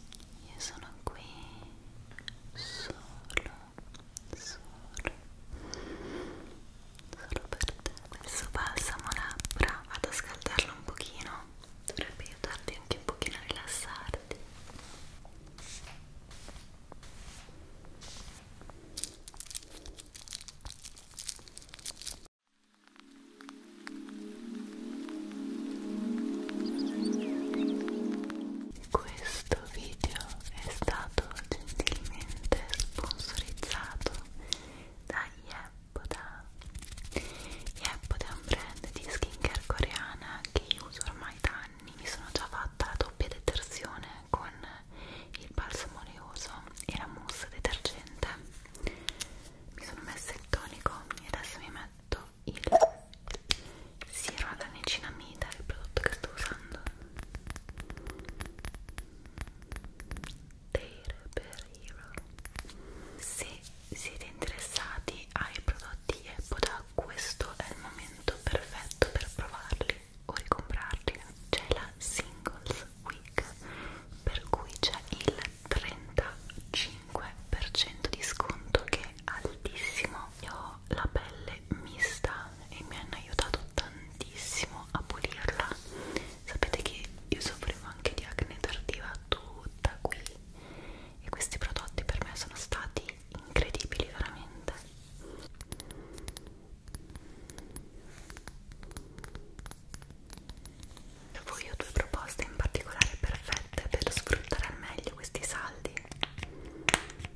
Io sono qui solo, solo, solo per te. Questo balsamo labbra, vado a scaldarlo un pochino, dovrebbe aiutarti anche un pochino a rilassarti. Questo video è stato gentilmente sponsorizzato da Yeppoda. Yeppoda è un brand di skincare coreana che io uso ormai da anni. Mi sono già fatta la doppia detersione con il balsamo oleoso e la mousse detergente. Mi sono messa il tonico e adesso mi metto il siero alla niacinamida il prodotto che sto usando per Hero se siete interessati ai prodotti Epoda questo è il momento perfetto per provarli o ricomprarli c'è la Singles Week per cui c'è il 35% 25% di sconto che è altissimo io ho la pelle mista e mi hanno aiutato tantissimo a pulirla sapete che io soffrivo anche di acne tardiva tutta qui e questi prodotti per me sono stati incredibili veramente dopo io ho due proposte in particolare perfette per sfruttare al meglio meglio questi saldi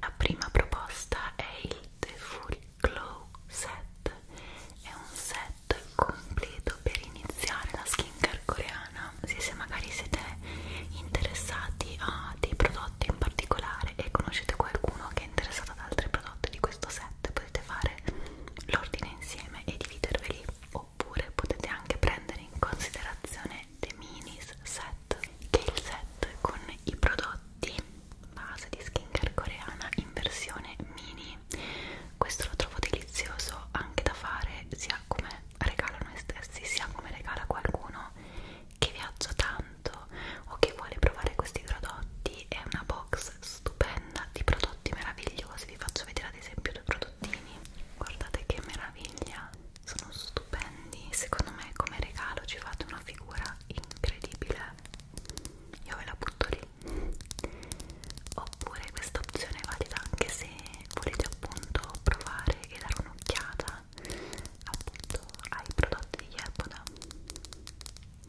la prima proposta è il The Full Glow Set è un set completo per iniziare la skincare coreana se, se magari siete interessati a dei prodotti in particolare e conoscete qualcuno che è interessato ad altri prodotti di questo set potete fare l'ordine insieme e dividerveli oppure potete anche prendere in considerazione The Minis Set che è il set con i prodotti base di skincare coreana in versione mini questo lo trovo delizioso anche da fare sia come regalo noi stessi sia come regalo a qualcuno che viaggia tanto o che vuole provare questi prodotti è una box stupenda di prodotti meravigliosi vi faccio vedere ad esempio due prodottini guardate che meraviglia sono stupendi secondo me come regalo ci fate una figura incredibile io ve la butto lì oppure questa opzione è valida anche se volete appunto provare e dare un'occhiata appunto ai prodotti di Yepoda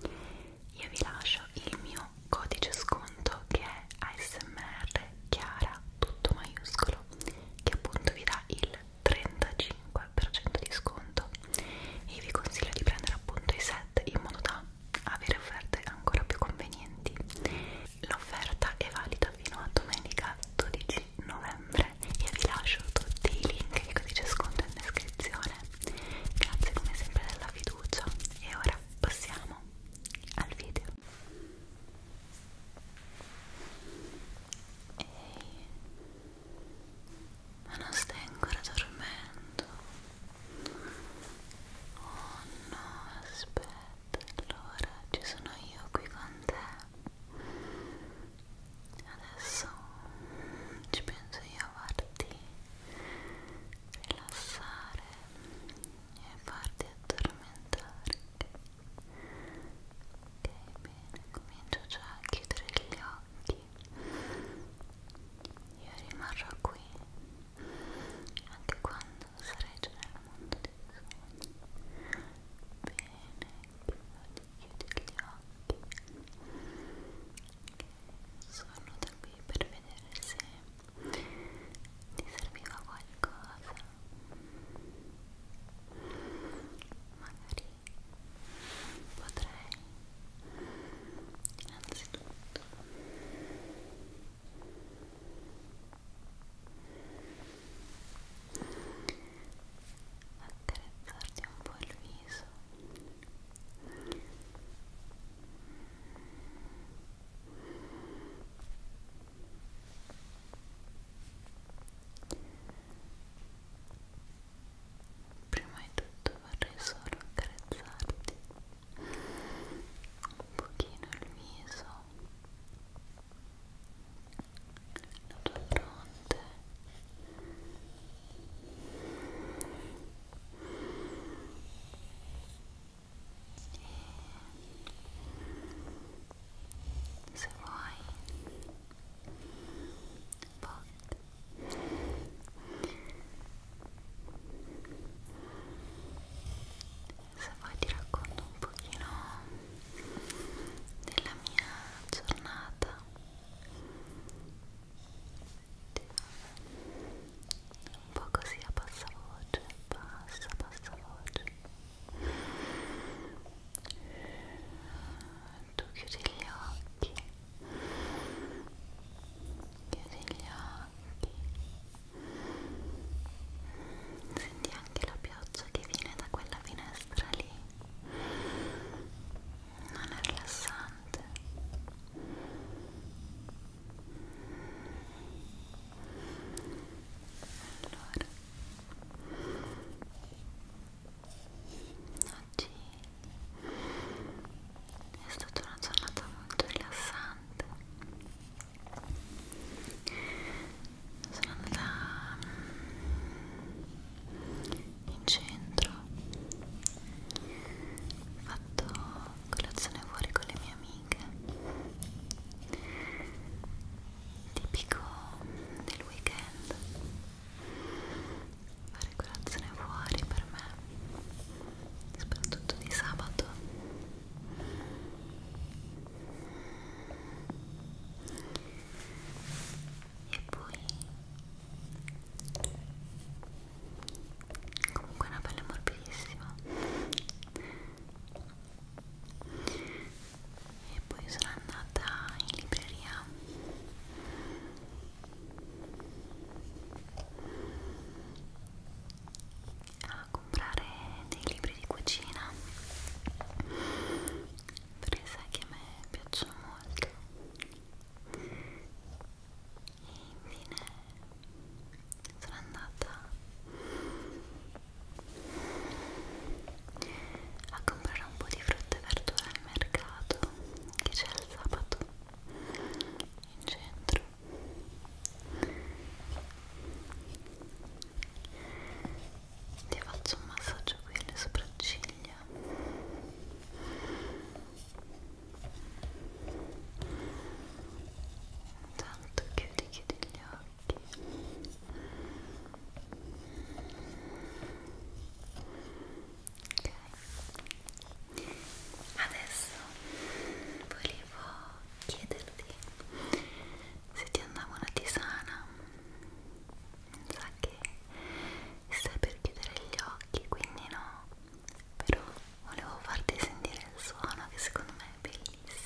io vi lascio il mio codice sconto che è ASMR Chiara tutto maiuscolo video che appunto vi dà il 35% di sconto e vi consiglio di prendere appunto i set in modo da avere offerte ancora più convenienti l'offerta è valida fino a domenica 12 novembre e vi lascio tutti i link e il codice sconto in descrizione grazie come sempre della fiducia e ora passiamo al video Ehi, ma non stai ancora dormendo? Oh no, aspetta, allora ci sono io qui con te. Adesso ci penso io a farti rilassare e farti addormentare. Ok, bene, comincio già a chiudere gli occhi. Io rimarrò qui anche quando sarai già nel mondo dei sogni. Bene, chiudi, chiudi gli occhi. Sono da qui per vedere se ti serviva qualcosa magari potrei innanzitutto accarezzarti un po' il viso Prima di tutto vorrei solo accarezzarti un pochino il viso, la tua fronte e se vuoi pot se vuoi ti racconto un pochino della mia giornata un po' così a bassa voce, bassa, bassa voce tu chiudi gli occhi chiudi gli occhi senti anche la pioggia che viene da quella finestra lì non è rilassante allora oggi è stata una giornata molto rilassante sono andata mm, in centro ho fatto colazione fuori con le mie amiche tipico del weekend fare colazione fuori per me soprattutto di sabato e poi comunque è una pelle morbidissima e poi sono andata in libreria a comprare dei libri di cucina perché sai che a me piacciono molto e infine sono andata a comprare un po' di frutta e verdura al mercato che c'è il sabato in centro ti faccio un massaggio qui alle sopracciglia Tanto chiudi, chiudi gli occhi ok adesso volevo chiederti se ti andava una tisana sa che stai per chiudere gli occhi quindi no però volevo farti sentire il suono che secondo me è bellissimo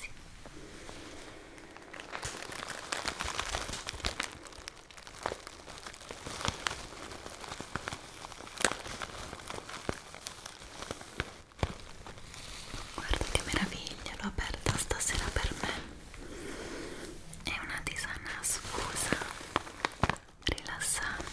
Guarda che meraviglia, l'ho aperta stasera per me. È una tisana sfusa, rilassante.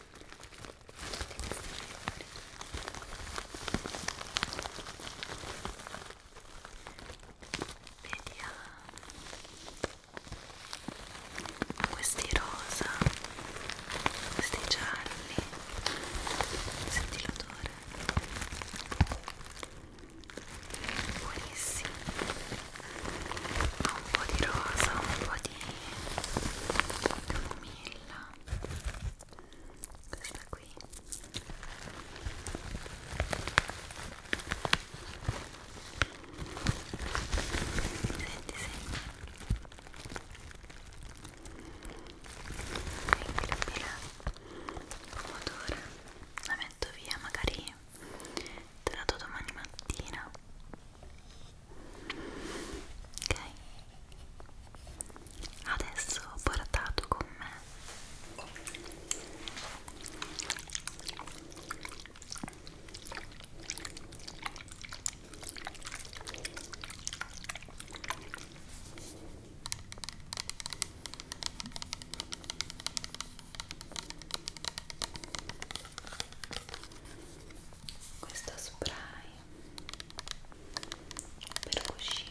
Vediamo questi rosa, questi gialli, senti l'odore, buonissimo, ha un po' di rosa, un po' di camomilla questa qui senti senti è incredibile pomodoro la metto via magari te la do domani mattina ok adesso ho portato con me questo spray per cuscino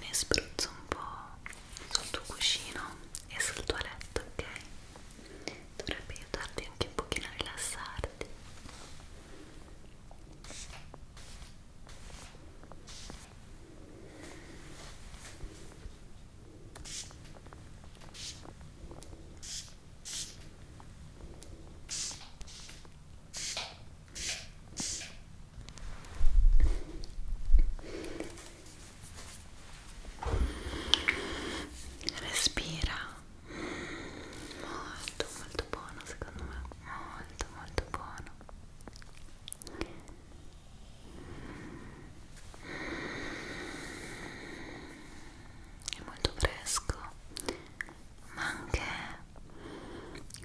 ne spruzzo un po' sul tuo cuscino e sul tuo letto, ok? Dovrebbe aiutarti anche un pochino a rilassarti. Respira molto molto buono secondo me, molto molto buono è molto fresco ma anche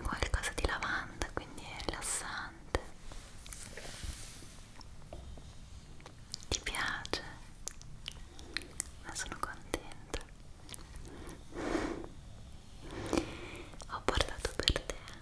qualcosa di lavanda quindi è rilassante ti piace? ma sono contenta ho portato per te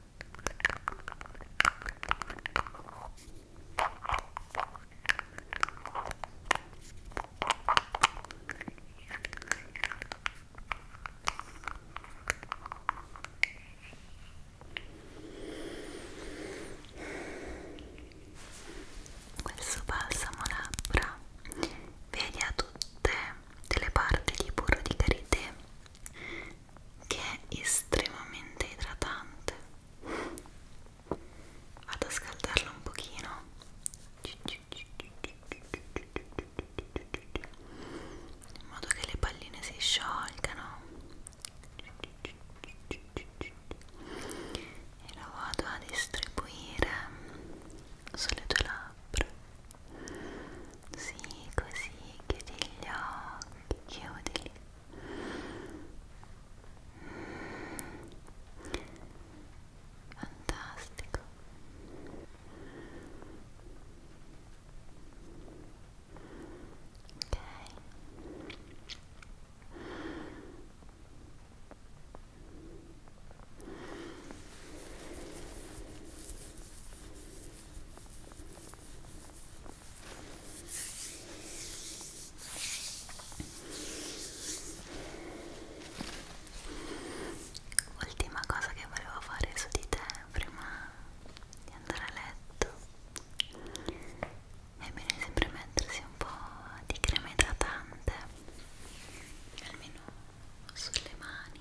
Questo balsamo labbra vedi a tutte delle parti di burro di karité che è estremamente idratante vado a scaldarlo un pochino in modo che le palline si sciolgano e lo vado a distribuire sulle tue labbra sì, così, chiudi gli occhi, chiudili. Fantastico. Ok. Ok, Ultima cosa che volevo fare su di te prima di andare a letto è bene sempre mettersi un po' di crema idratante almeno sulle mani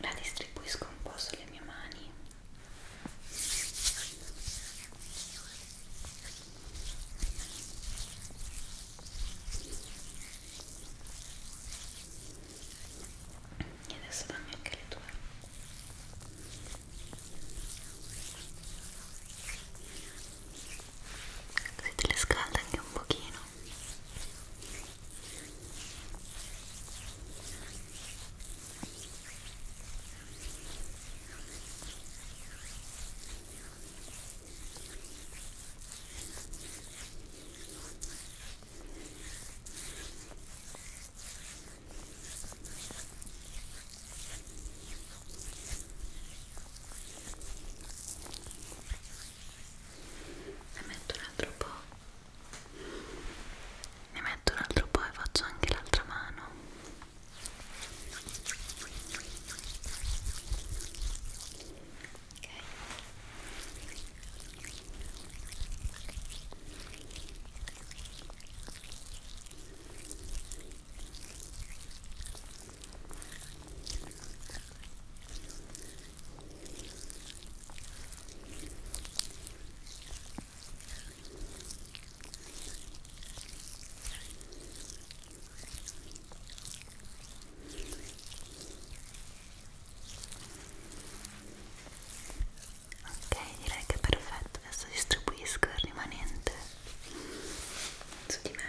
la distribuisco un po' sulle mie mani e adesso dammi anche le tue Ecco così te le scalda anche un pochino ne metto un altro po' ne metto un altro po' e faccio anche l'altra mano ok ok Ok, direi che è perfetto, adesso distribuisco il rimanente su di me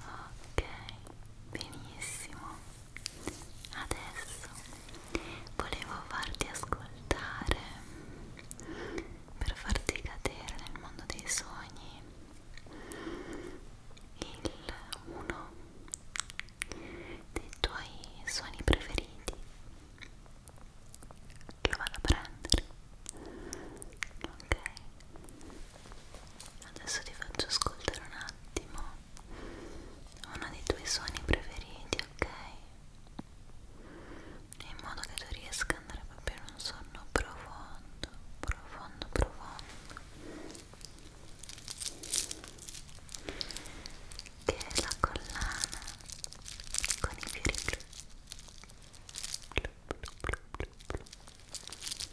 ok benissimo adesso volevo farti ascoltare per farti cadere nel mondo dei sogni il uno dei tuoi suoni preferiti lo vado a prendere ok Adesso ti faccio ascoltare un attimo uno dei tuoi suoni preferiti, ok? In modo che tu riesca ad andare proprio in un sonno profondo, profondo, profondo che è la collana con i fiori blu blu blu blu blu blu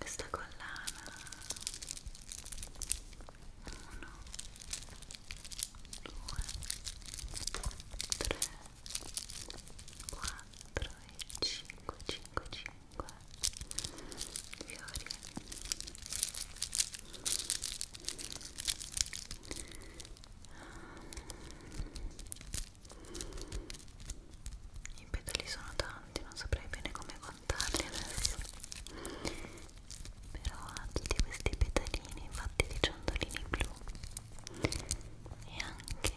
Questa collana 1 2 3 4 e 5 5 5 fiori i petali sono tanti non saprei bene come contarli adesso però ha tutti questi petalini fatti di ciondolini blu e anche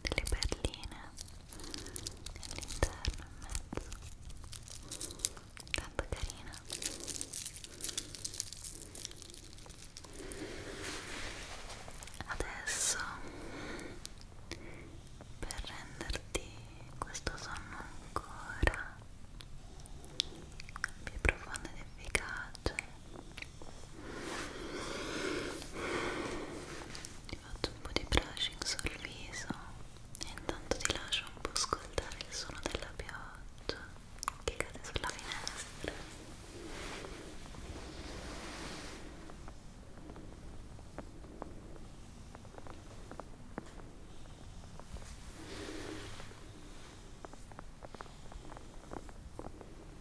delle perline all'interno in mezzo tanto carina adesso per renderti questo sonno ancora più profondo ed efficace ti faccio un po' di brushing sul viso e intanto ti lascio un po' ascoltare il suono della pioggia che cade sulla finestra Ora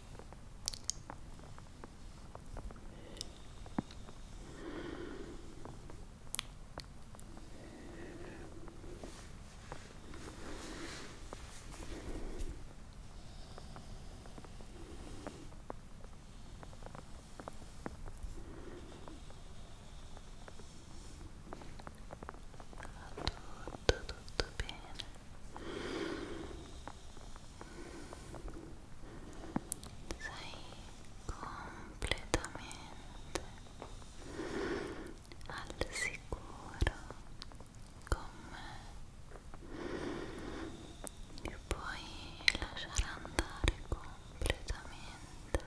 tutto tutto bene sei completamente al sicuro con me e puoi lasciare andare completamente al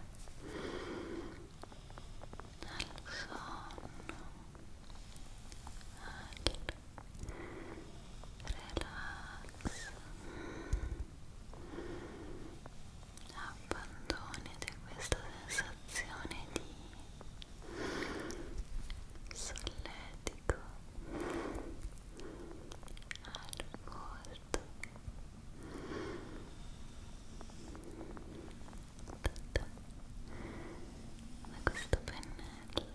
sonno relax abbandonate questa sensazione di solletico al volto da questo pennello bello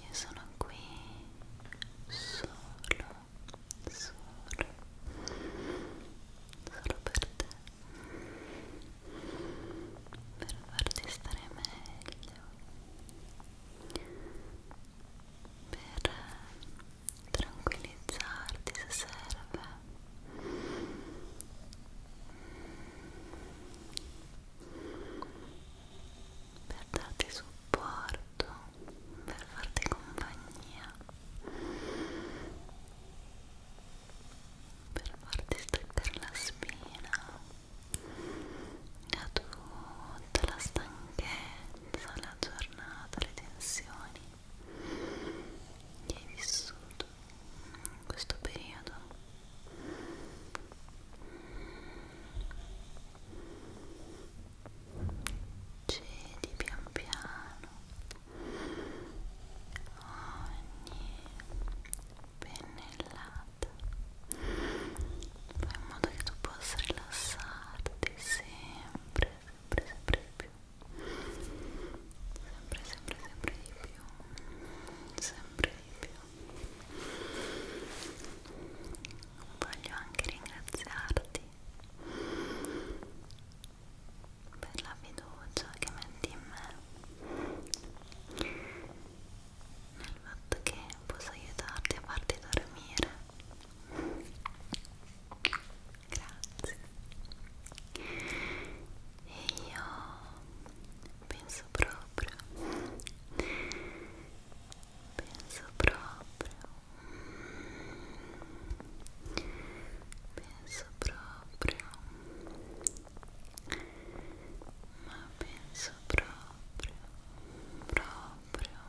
io sono qui solo solo solo per te per farti stare meglio per eh, tranquillizzarti se serve per darti supporto per farti compagnia per farti staccare la spina da tutta la stanchezza, la giornata, le tensioni che hai vissuto in questo periodo cedi pian piano ogni pennellata rilassata fai in modo che tu possa rilassarti sempre, sempre, sempre di più sempre, sempre, sempre di più sempre di più voglio anche ringraziarti per la fiducia che metti in me nel fatto che posso aiutarti a farti dormire grazie e io penso proprio penso proprio penso proprio ma penso proprio proprio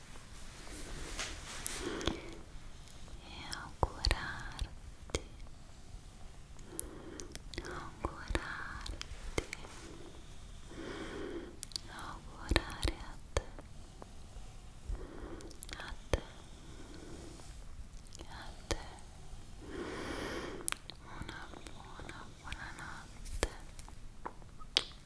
e augurarti augurarti augurare a te a te a te una buona buonanotte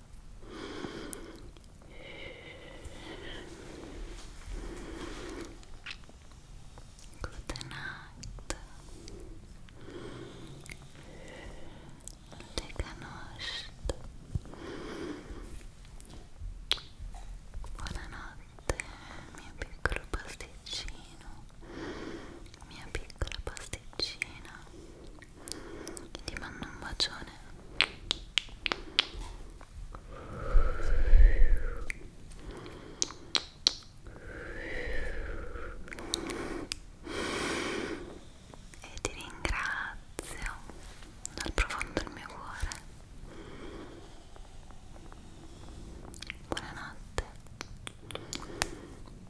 Good night. Leganost. Buonanotte, mio piccolo pasticcino. Mia piccola pasticcina ti mando un bacione e ti ringrazio dal profondo del mio cuore buonanotte